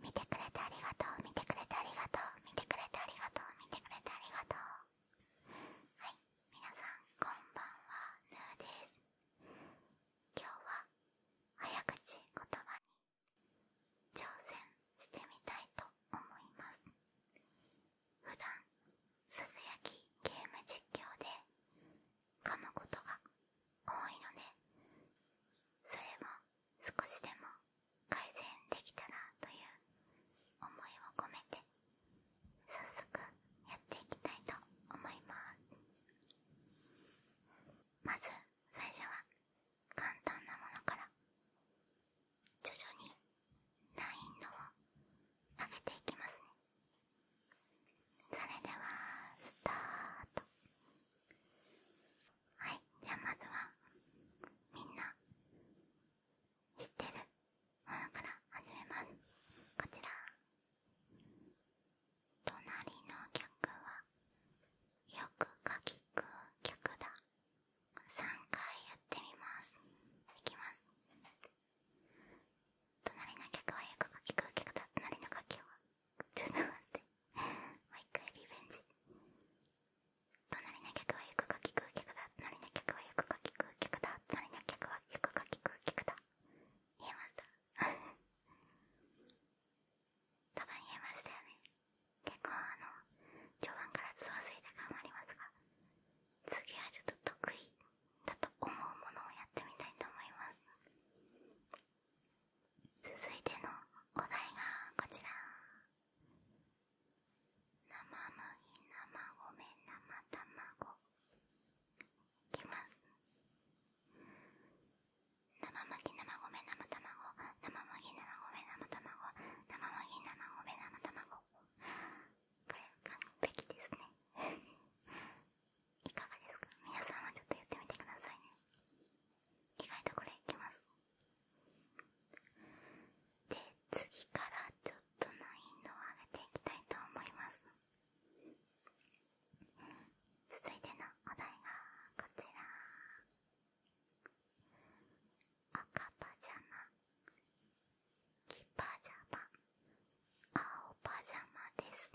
見てくれてありがとう見てくれてありがとう見てくれてありがとう見てくれてありがとうはい皆さんこんばんはぬーです今日は早口言葉に挑戦してみたいと思います普段すずやきゲーム実況で噛むことが多いのでそれも少しでも改善できたらという思いを込めて早速やっていきたいと思いますまず最初は簡単なものから徐々に難易度を上げていきますねそれではスタートはいじゃあまずはみんな知ってるものから始めますこちら隣の曲はよくかきく曲だ3回やってみますいきます隣の客はよくかき食うだ隣の楽きはちょっと待ってもう一回リベンジ隣の客はよくか聞くう客だ隣の客はよくか聞食う客だ隣の客はよくかき食う客だ言えました多分言えましたよね結構あの序盤からつまずいた感もありますが次はちょっと得意だと思うものをやってみたいと思います続いてのお題がこちら生麦生ごめ生卵いきます生麦生米生卵生麦生米生卵生麦生米生卵これ完璧ですねいかがですか皆さんはちょっとやってみてくださいね意外とこれいきますで次からちょっと難易度を上げていきたいと思います続いてのお題がこちら赤パジャマ黄パジャマ青パジャマです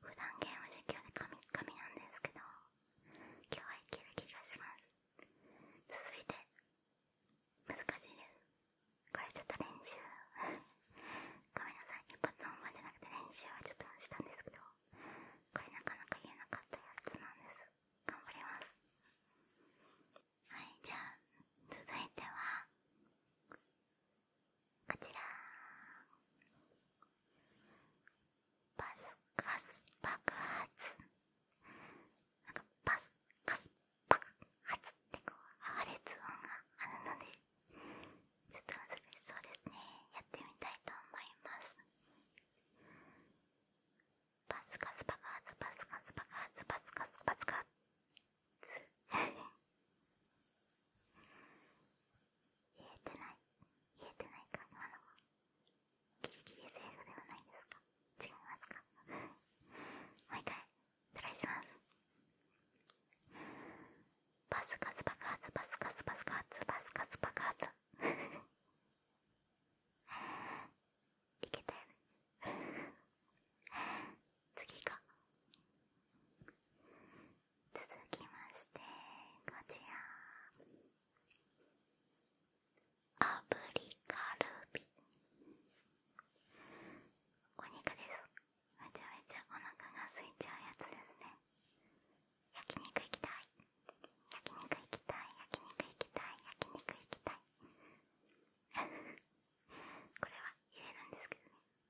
普段ゲーム実況で神々なんですけど今日はいける気がします続いて難しいですこれちょっと練習 ごめんなさい一発の本番じゃなくて練習はちょっとしたんですけどこれなかなか言えなかったやつなんです頑張りますはいじゃあ続いてはこちらパスカス爆発なんかパスカス爆発ってこう破裂音があるのでちょっと難しそうですねやってみたいと思いますパスカス爆発パスカス爆発パスカス爆発こ言えてない言えてないか今のはギリギリセーフではないですか違いますかもう一回トライしますパスカツ爆発パスカツパスカツパスカツパ爆発いけたよね次か続きましてこちらアブカルビお肉ですめちゃめちゃお腹が空いちゃうやつですね焼き肉行きたい焼き肉行きたい焼き肉行きたい焼き肉行きたい これは入れるんですけどね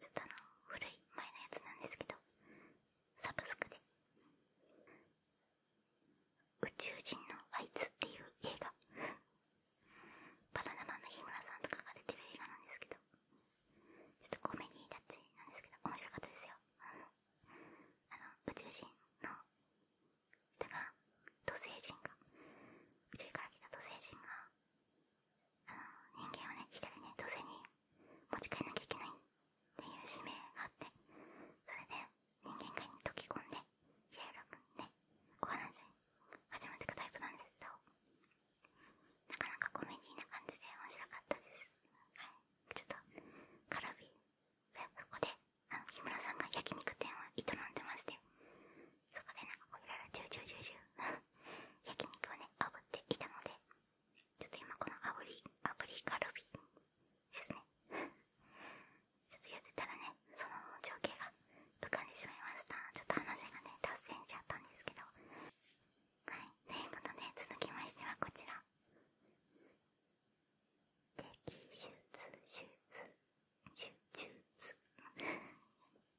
ちょっとあの古い前のやつなんですけどサブスクで「宇宙人のあいつ」っていう映画バナナマンの日村さんとかが出てる映画なんですけどちょっとコメディータッチなんですけど面白かったですよあの宇宙人の人が土星人が宇宙から来た土星人が人間はね一人ね女性に持ち帰らなきゃいけないっていう使命があってそれで人間界に溶け込んでいろいろねお話始めていくタイプなんですけどなかなかコメディーな感じで面白かったですちょっとカラビでそこであ木村さんが焼き肉店を営んでましてそこでなんかこういろいろジュージュージュージュー 焼肉をね炙っていたのでちょっと今このあぶりあぶりカルビですね ちょっとやってたらねその情景が浮かんでしまいましたちょっと話がね脱線しちゃったんですけどはいということで続きましてはこちら摘出手術手術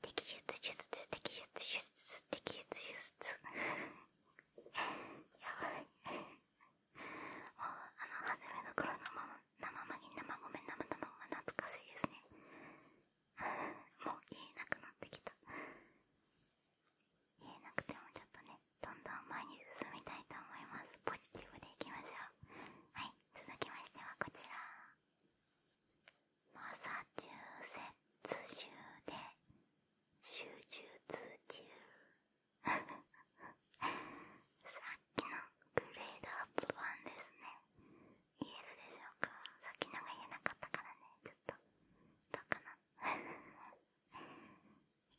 摘出手術摘出手術摘出手術やばいもうあの初めの頃のまま生まぎ生米生卵が懐かしいですねもう言えなくなってきた言えなくてもちょっとねどんどん前に進みたいと思いますポジティブでいきましょうはい続きましてはこちらマサチューセッツ州で手術中さっきのグレードアップ版ですね言えるでしょうかさっきのが言えなかったからねちょっとどうかな い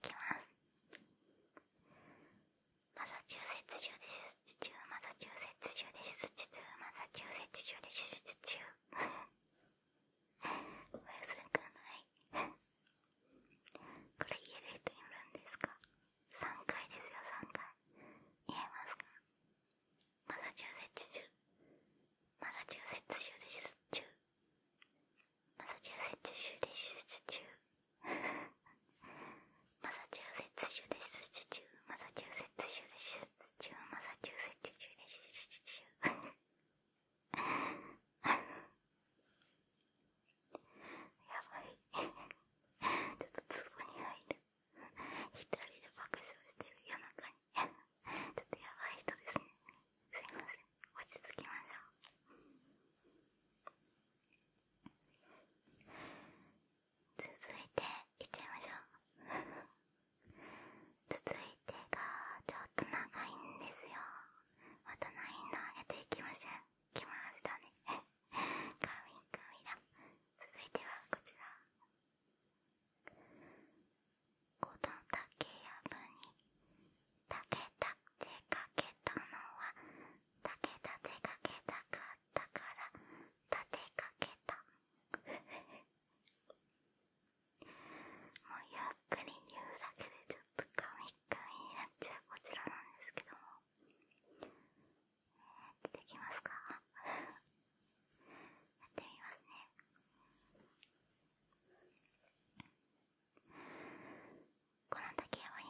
きますマサチューセッツ州で手術中マサチューセッツ州で手術中マサチューセッツ州で手術中おやすくないこれ家で人いるんですか3回ですよ3回言えますかマサチューセッツ州マサチューセッツ州でチュ中マサチューセッツ州でチュ中マサチューセッツ州で出資中マサチューセッツ州で出資中マサチューセッツ州で出資中やばいちょっとツボに入る一人で爆笑してる夜中にちょっとやばい人ですねすいません落ち着きましょう続いていっちゃいましょう続いてがちょっと長いんですよまたラインの上げていきましょう来ましたねカン神々だ続いてはこちらこの竹やぶに竹田出かけたのは竹田出かけたかっから立てかけたもうゆっくり言うだけでちょっとカミカミになっちゃうこちらなんですけども、できますかやってみますねこの時はワニ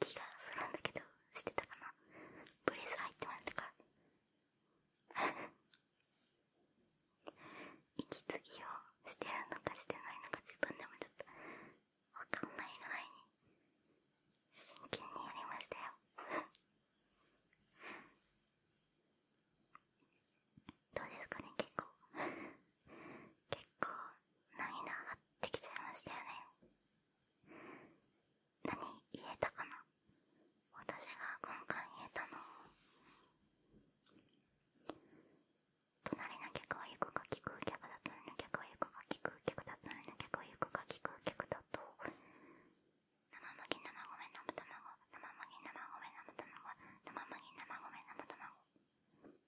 気がするんだけどしてたかなブレス入ってましたか 息継ぎをしてるのかしてないのか自分でもちょっとわかんないぐらいに真剣にやりましたよ どうですかね結構結構涙上がってきちゃいましたよね何言えたかな私が今回言えたの隣の客は行くか聞く客だ隣の客は行くか聞く客だ隣の客は行くか聞く客だと生麦生米生卵生麦生米生卵生麦生米生卵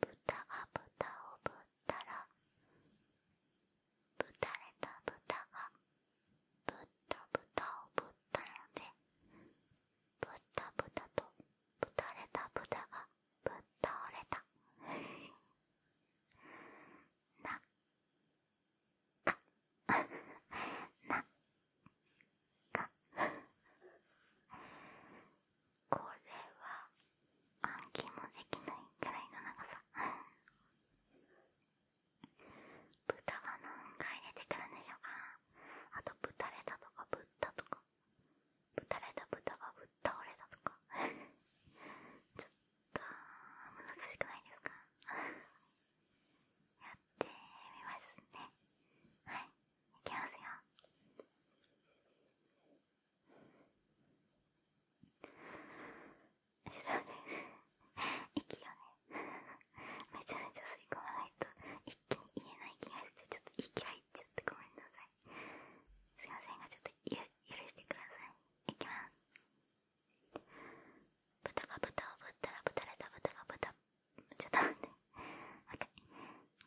豚が豚をぶったらぶたれた豚がぶった豚をぶったらでぶった豚とぶたれた豚がぶっ倒れたなっかなっかこれは暗記もできないくらいの長さ豚は何回出てくるんでしょうかあと豚レタとかぶったとか豚レタ豚がぶっ倒れたとかちょっと難しくないですかやってみますねはいいきますよそうね息をねめちゃめちゃ吸い込まないと一気に言えない気がしてちょっと息入っちゃってごめんなさいすいませんがちょっとゆ許してくださいいきます豚が豚をぶったらぶたれた豚が豚ちょっと待って OK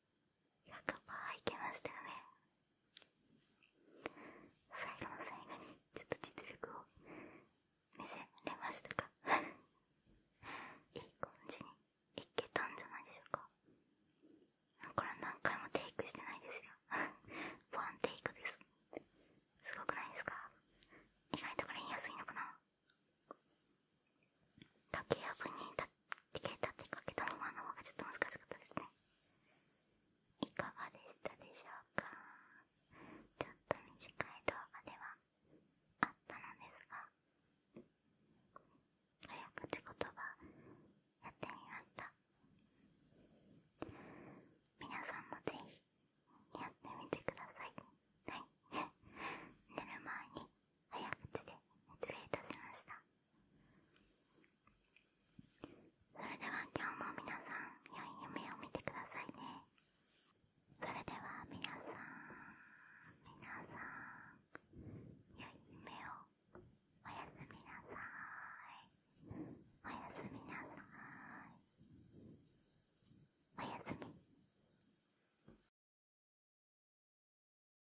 や100%いけましたよね最後の最後にちょっと実力を見せれましたかいい感じにいけたんじゃないでしょうかこれは何回もテイクしてないですよワンテイクですすごくないですか意外とこれ言いやすいのかな竹やぶに立デケーターっけたままの方がちょっと難しかったですねいかがでしたでしょうかちょっと短い動画ではあったのですが早口言葉やってみました皆さんもぜひやってみてくださいはい寝る前に早口で失礼いたしましたそれでは今日も皆さん良い夢を見てくださいねそれでは皆さん皆さん良い夢をおやすみなさいおやすみなさいおやすみ